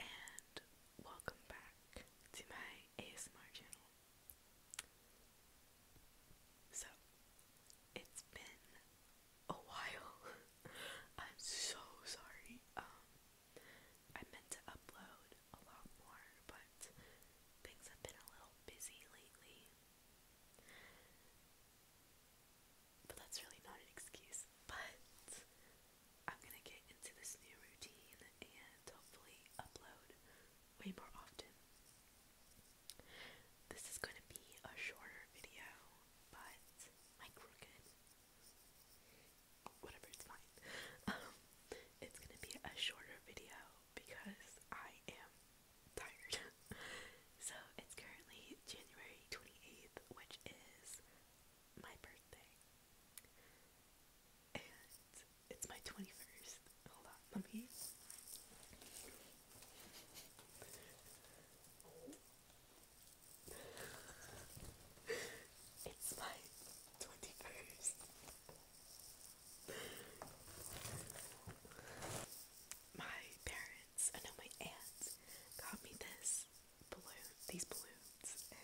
And welcome back to my ASMR channel. So, it's been a while. I'm so sorry. Um I meant to upload a lot more, but things have been a little busy lately. But that's really not an excuse. But I'm gonna get into this new routine and hopefully upload way more often. This is gonna be a shorter video, but like crooked. Whatever, it's fine. Um, it's gonna be a shorter video because I am tired. so it's currently January 28th, which is my birthday. And it's my 21st. Hold on, let me. it's my 21st. My parents, I know my aunts, got me this balloon, these balloons, and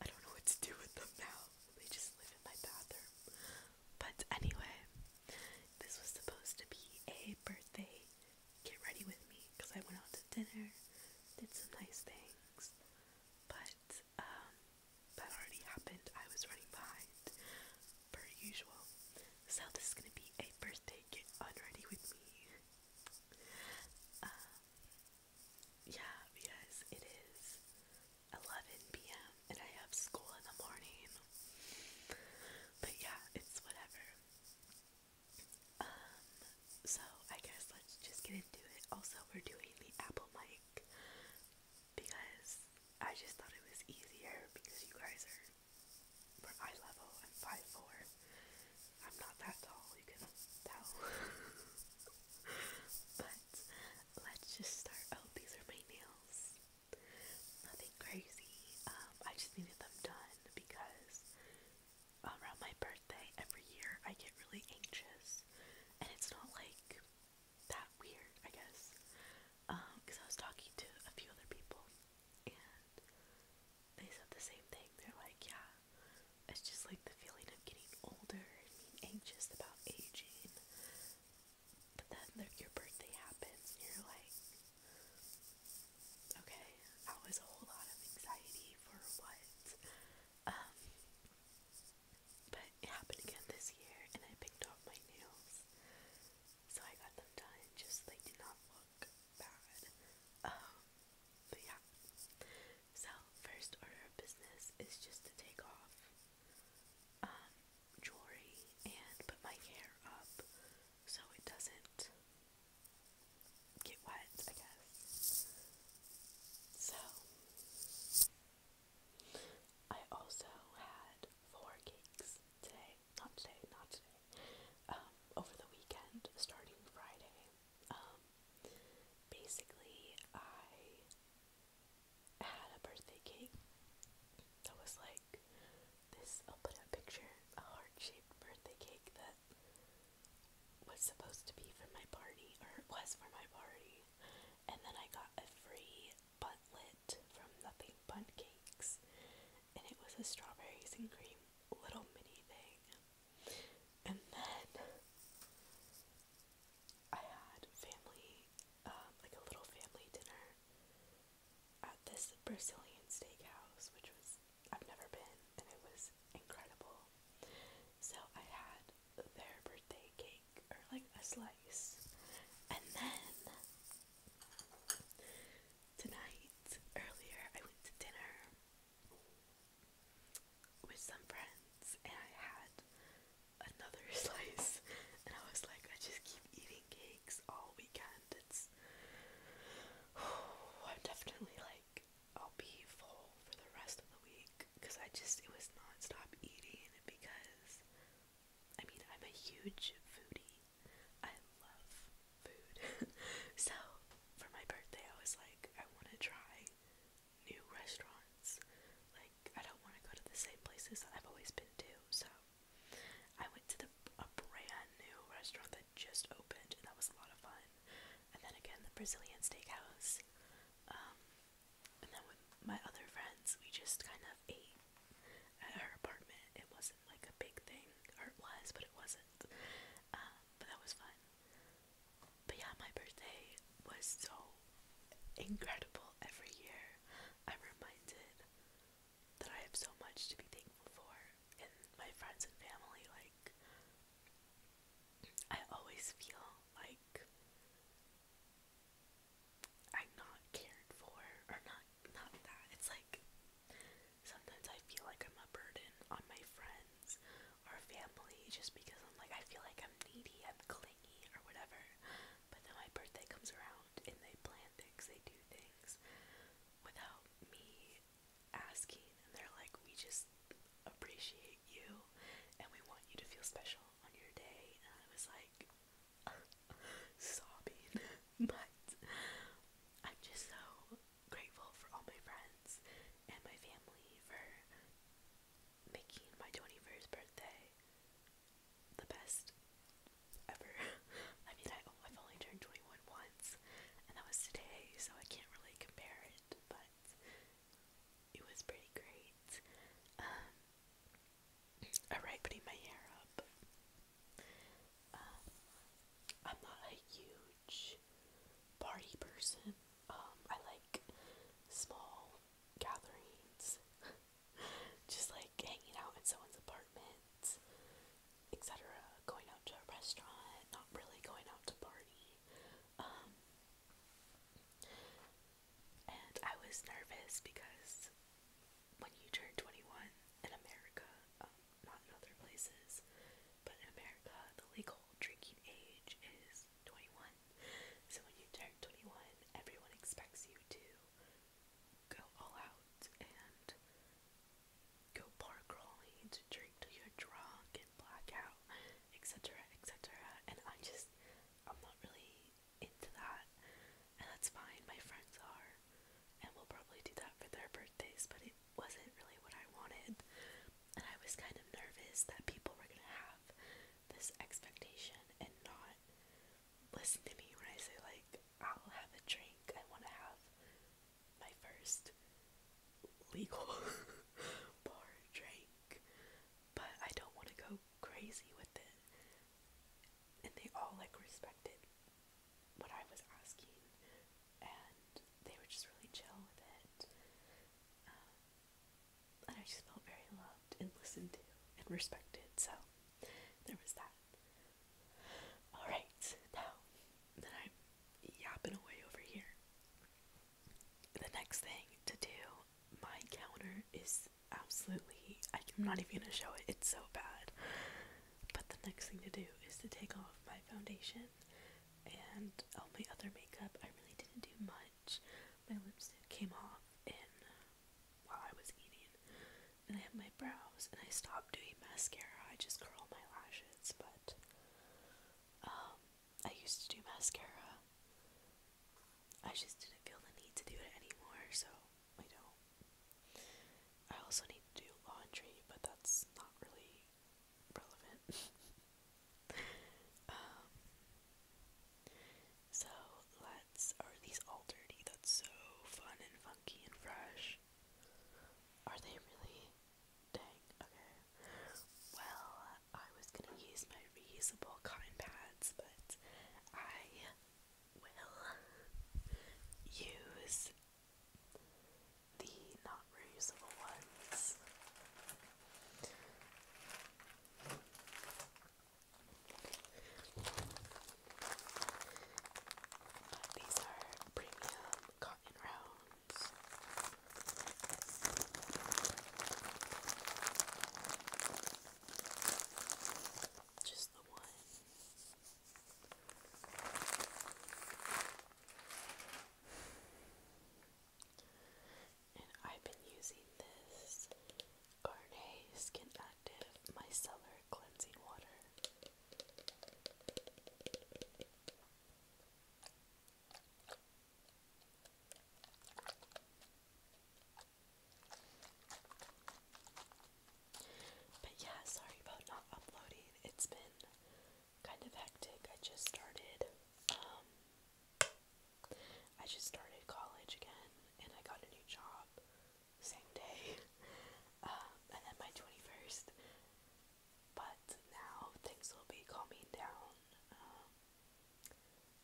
I don't know what to do with them now. They just live in my bathroom. But anyway, this was supposed to be a birthday get ready with me because I went out to dinner, did some nice things, but that um, already happened. I was running behind, per usual. So this is gonna be a birthday get ready with me. Um, yeah, because it is 11 p.m. and I have school in the morning. But yeah, it's whatever. Um, so I guess let's just get into it. Also, we're doing the apple mic because I just thought it was easier because you guys are eye level. I'm five four. I'm not that tall. You can tell. but let's just start. Oh, these are my nails. Nothing crazy. Um, I just needed them done because around my birthday every year I get really anxious and it's not like that weird, I guess. because um, I was talking to a few other people and they said the same thing. They're like, yeah, it's just like the feeling of getting older and being anxious about aging. But then your birthday happens and you're like, okay, that was a whole lot of anxiety for what? Um, but it happened again this year and I picked off my nails. So I got them done, just they did not look bad. Um, but yeah. So first order of business is just to take off um, jewelry and put my hair up so it doesn't get wet, I guess. So I also had four gigs today, not today, not today, um, over the weekend, starting Friday. Um, basically, I had a birthday cake that was like this. I'll put a picture, a heart shaped birthday cake that was supposed to be for my party, or it was for my party, and then I got a free buntlet from Nothing Bunt Cakes, and it was a strawberries and cream little mini thing. And then I had family, um, like a little family dinner at this Brazilian steakhouse, which was I've never been, and it was incredible. So I had their birthday cake or like a slice. And then tonight, earlier, I went to dinner with some friends and I had another slice. And I was like, I just keep eating cakes all weekend. It's. I'm definitely like I'll be full for the rest of the week because I just it was non-stop eating because I mean I'm a huge foodie. I love food. so for my birthday I was like I want to try new restaurants. Like I don't want to go to the same places I've always been to. So I went to the a brand new restaurant that just opened and that was a lot of fun. And then again the Brazilian steakhouse. Um, and then with my other friends, we just kind of ate at her apartment. It wasn't like a big thing, or it was, but it wasn't. Um, but that was fun. But yeah, my birthday was so incredible every year. I'm reminded that I have so much to be thankful for, and my friends and family, like, I always feel like I'm not cared for, or not, not that. It's like sometimes I feel like I'm a burden on my friends or family just because I'm like, I feel like I'm needy, I'm clingy, or whatever. But then my birthday comes around and they plan things, they do things without me asking and they're like, we just appreciate you and we want you to feel special on your day. And I was like, sobbing. but I'm just so grateful for all my friends and my family for making my 21st birthday the best ever. I mean, I, I've only turned 21 once, and that was today, so I can't really compare it, but it was pretty great. alright, um, putting my hair up. Um, I'm not a huge party person. Um, I like small gatherings, just like hanging out in someone's apartment, etc. Going out to a restaurant, not really going out to party. Um, and I was nervous because when you turn 21 in America, um, not in other places, but in America, the legal drinking age is 21. So when you turn 21, everyone expects you to go all out and go bar crawling to drink till you're drunk did blackout, etc., etc. And I just, I'm not really into that, and that's fine. My friends are, and we'll probably do that for their birthdays. But it wasn't really what I wanted, and I was kind of nervous that people were gonna have this expectation and not listen to me when I say like I'll have a drink. I want to have my first legal bar drink, but I don't want to go crazy with it. And they all like respected what I was asking, and they were just really chill with it. Um, and I just felt very loved and listened to and respected, so there was that. Alright, now that I'm yapping away over here, the next thing to do, my counter is absolutely, I'm not even gonna show it, it's so bad. But the next thing to do is to take off my foundation and all my other makeup. I really didn't do much. My lipstick came off in while I was eating, and I have my brows, and I stopped doing mascara. I just curl my lashes, but um, I used to do mascara. I just didn't feel the need to do it anymore, so I don't. I also need to do laundry, but that's not really relevant. Um, so let's. Are these all dirty? That's so fun and funky and fresh. Are they really? Dang, okay. Well, I was gonna use my reusable cotton pads, but I will use the not reusable ones. these are premium cotton round just the one. And I've been using this Garnet Skin Active Micellar Cleansing Water. But yeah, sorry about not uploading. It's been kind of hectic. I just started um, I just started college again and I got a new job same day. Um, and then my 21st but now things will be calming down. Um,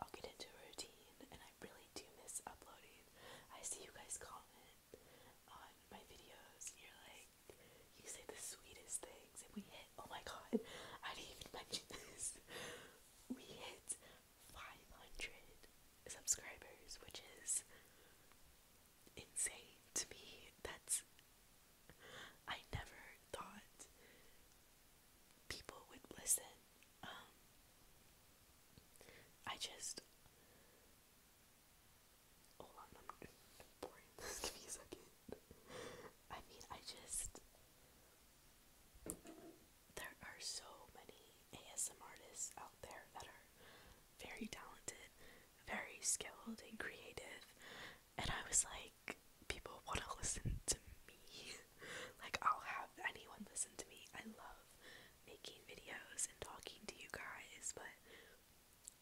I'll get into a routine, and I really do miss uploading. I see you guys comment on my videos, you're like, you say the sweetest things, and we hit, oh my god, I didn't even mention this. we hit 500 subscribers, which is insane to me. That's I never thought people would listen. Um, I just hold on, I'm boring give me a second. I mean I just there are so many ASM artists out there that are very talented, very skilled and creative. And I was like, people want to listen to me. like, I'll have anyone listen to me. I love making videos and talking to you guys, but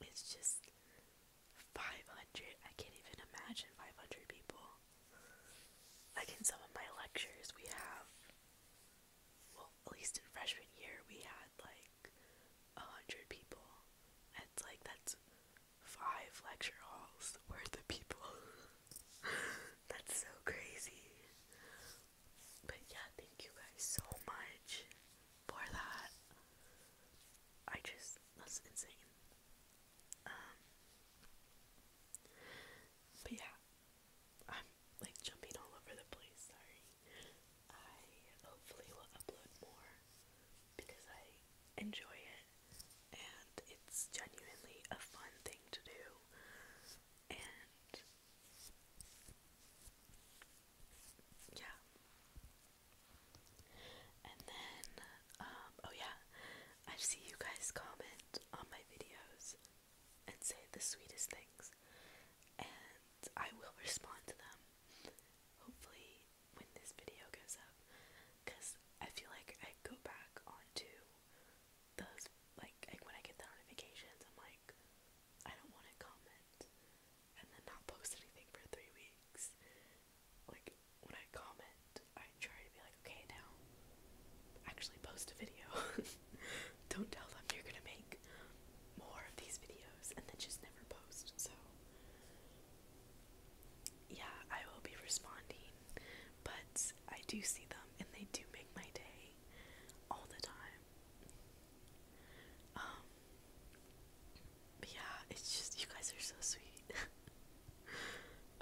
it's just 500. I can't even imagine 500 people. Like, in some of my lectures, we have, well, at least in freshman year, we had like a hundred people. It's like that's five lecture halls worth of people. that's so crazy. But yeah, thank you guys so much for that. I just that's insane. Um, but yeah, I'm like jumping all over the place, sorry. I hopefully will upload more because I enjoy it and it's genuinely a fun thing to do. And yeah. And then, um, oh yeah, I see you guys comment on my videos and say the sweetest things, and I will respond to them hopefully when this video goes up, because I feel like I go back onto those, like, when I get the notifications, I'm like, I don't want to comment and then not post anything for three weeks. Like, when I comment, I try to be like, okay, now actually post a video. don't tell them you're gonna make more of these videos and then just never post. So yeah, I will be responding, but I do see them and they do make my day all the time. Um, but yeah, it's just you guys are so sweet.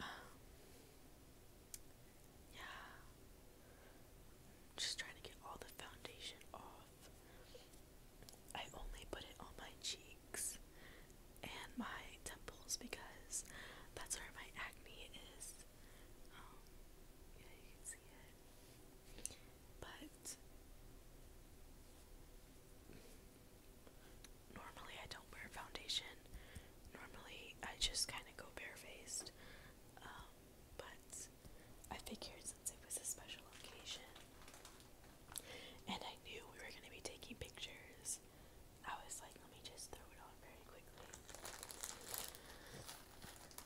Um, yeah. Just trying to get all the foundation off. I only put it on my cheeks and my temples because that's where my acne is. Um, yeah, you can see it. But normally I don't wear foundation. Normally I just kind of go barefaced. Um, but I figured since it was a special occasion and I knew we were going to be taking pictures, I was like, let me just throw it on very quickly.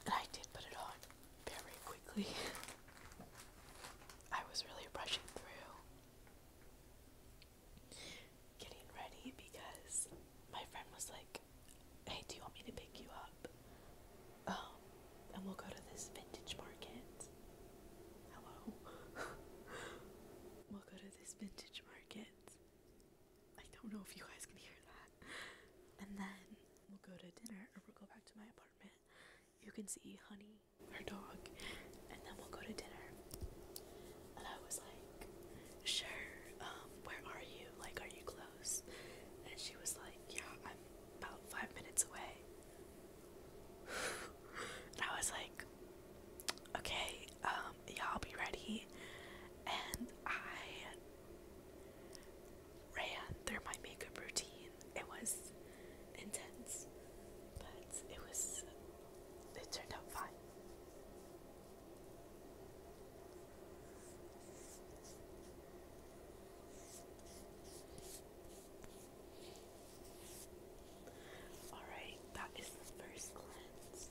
And I did put it on very quickly. I was really rushing through getting ready because my friend was like, hey, do you want me to pick you up? Um, and we'll go to this vintage market. Hello. we'll go to this vintage market. I don't know if you guys can hear that. And then we'll go to dinner or we'll go back to my apartment. You can see Honey, her dog, and then we'll go to dinner. And I was like, sure, um, where are you? Like, are you close? And she was like, yeah, I'm about five minutes away. and I was like, okay, um, yeah, I'll be ready. And I ran through my makeup routine. It was intense, but it was, it turned out fine. Alright, that is the first cleanse.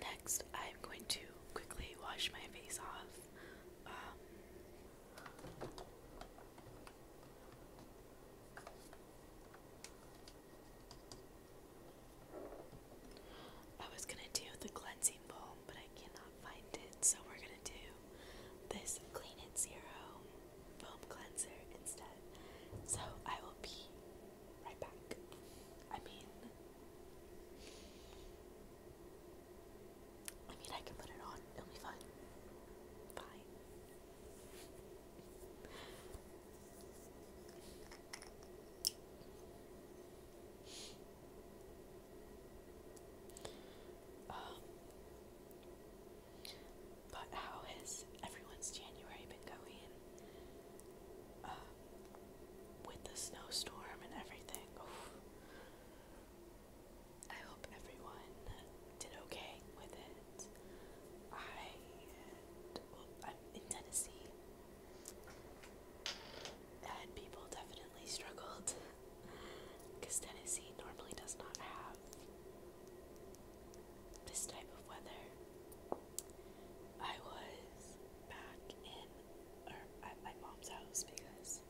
Next, I'm going to quickly wash my face off. Um, I was gonna do the cleansing balm, but I cannot find it, so we're gonna do this Clean It Zero foam cleanser instead. So I will be right back. I mean, I mean I can put it on. It'll be fine. Bye. Um, but how has everyone's January been going? Um, with the snowstorm and everything. I hope everyone did okay with it. I well, I'm in Tennessee, and people definitely struggled because Tennessee normally does not have this type of weather. I was back in or at my mom's house because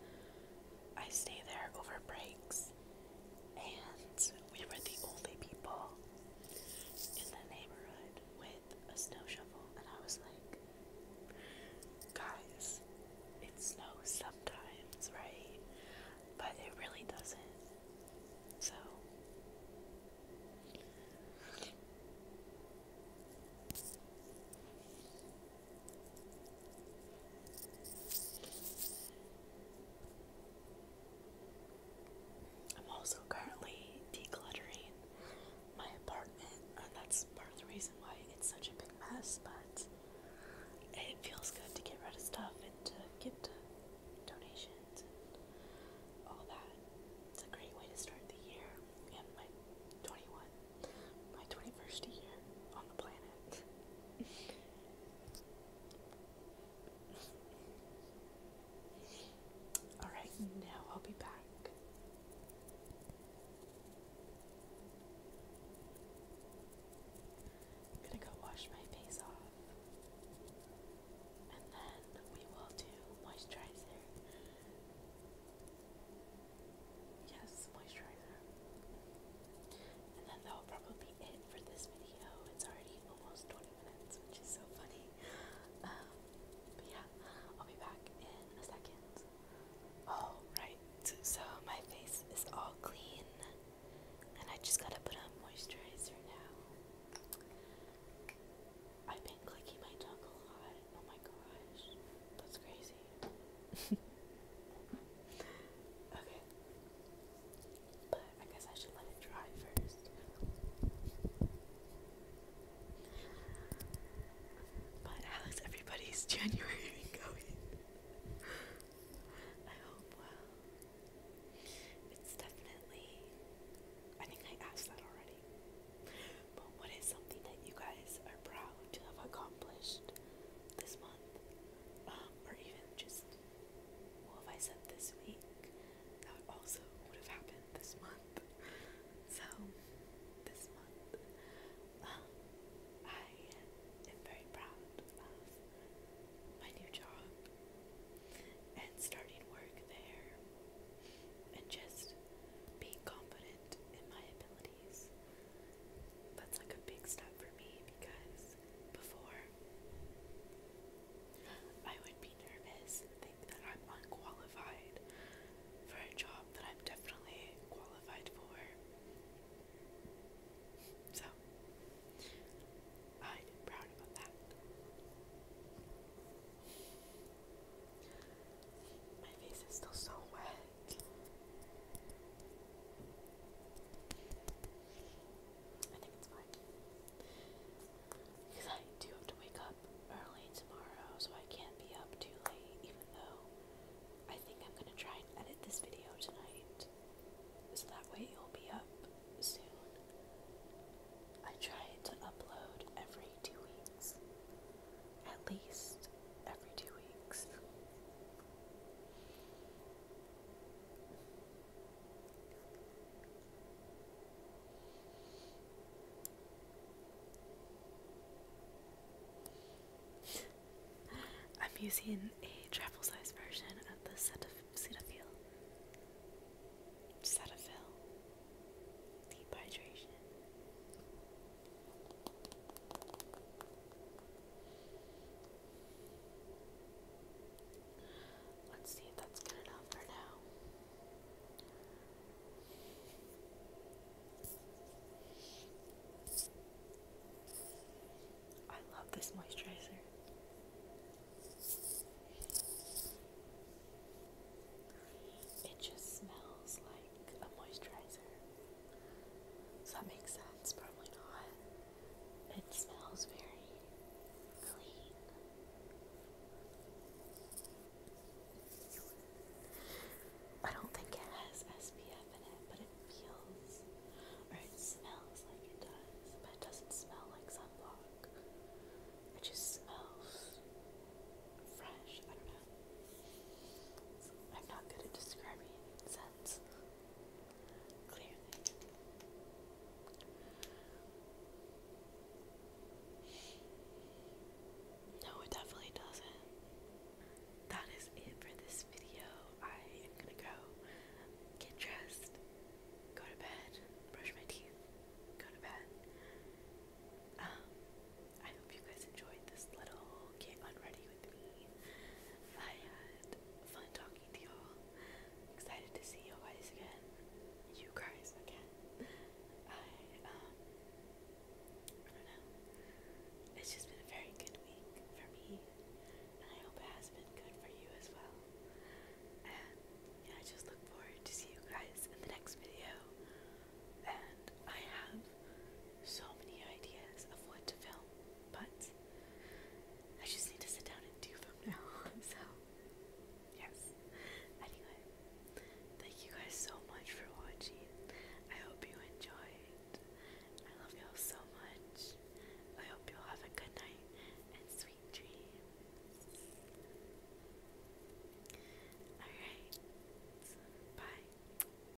I stay there over breaks and we were the only people in the neighborhood with a snow shovel, and I was like, guys, it snows sometimes, right? But it really doesn't. So I'm also currently decluttering my apartment, and that's part of the reason why it's such a big mess, but it feels good to get rid of stuff and to give to donations and all that. It's a great way to start the year and my 21, my 21st year on the planet. All right, now I'll be back. am going to go wash my face off. And then we will do moisturizer. Yes, moisturizer. And then that'll probably be it for this video. It's already almost 20 minutes, which is so funny. Um, but yeah, I'll be back in a second. Alright, so my face is all clean. And I just gotta put on moisturizer now. I've been clicking my tongue a lot. Oh my gosh. That's crazy. okay. But I guess I should let it dry first. But how is everybody's January going? I hope well. It's definitely. I think I asked that already. But what is something that you guys are proud to have accomplished this month? Um, or even just, well, if I said this week, that also would have happened this month. So, this month, um, I am very proud of my new job and starting work there and just being confident in my ability that's like a big step for me because before I would be nervous think that I'm unqualified for a job that I'm definitely qualified for. So I'm proud about that. My face is still so wet. I think it's fine. Because I do have to wake up early tomorrow, so I can't be up too late, even though I think I'm going to try and edit this video tonight. So that way you will be up soon. I try to upload every two weeks. At least every two weeks. I'm using a travel size version of the Cetaphil. Cetaphil. Deep hydration. Let's see if that's good enough for now. I love this moisturizer. It just smells like a moisturizer. Does that make sense? Probably not. It smells very clean. I don't think it has SPF in it, but it feels or it smells like it does, but it doesn't smell like sunblock. It just smells fresh. I don't know. I'm not good at describing scents. No, it definitely doesn't. That is it for this video. I am gonna go get dressed, go to bed, brush my teeth, go to bed. Um, I hope you guys enjoyed this little get unready with me. I had fun talking to y'all. Excited to see you guys again. You guys again. I um I don't know. It's just been a very good week for me. And I hope it has been good for you as well. And yeah, I just look forward to see you guys in the next video. And I have so many ideas of what to film, but I just need to sit down and do from now So, yes. Anyway, thank you guys so much for watching. I hope you enjoyed. I love y'all so much. I hope you'll have a good night and sweet dreams. Alright. Bye.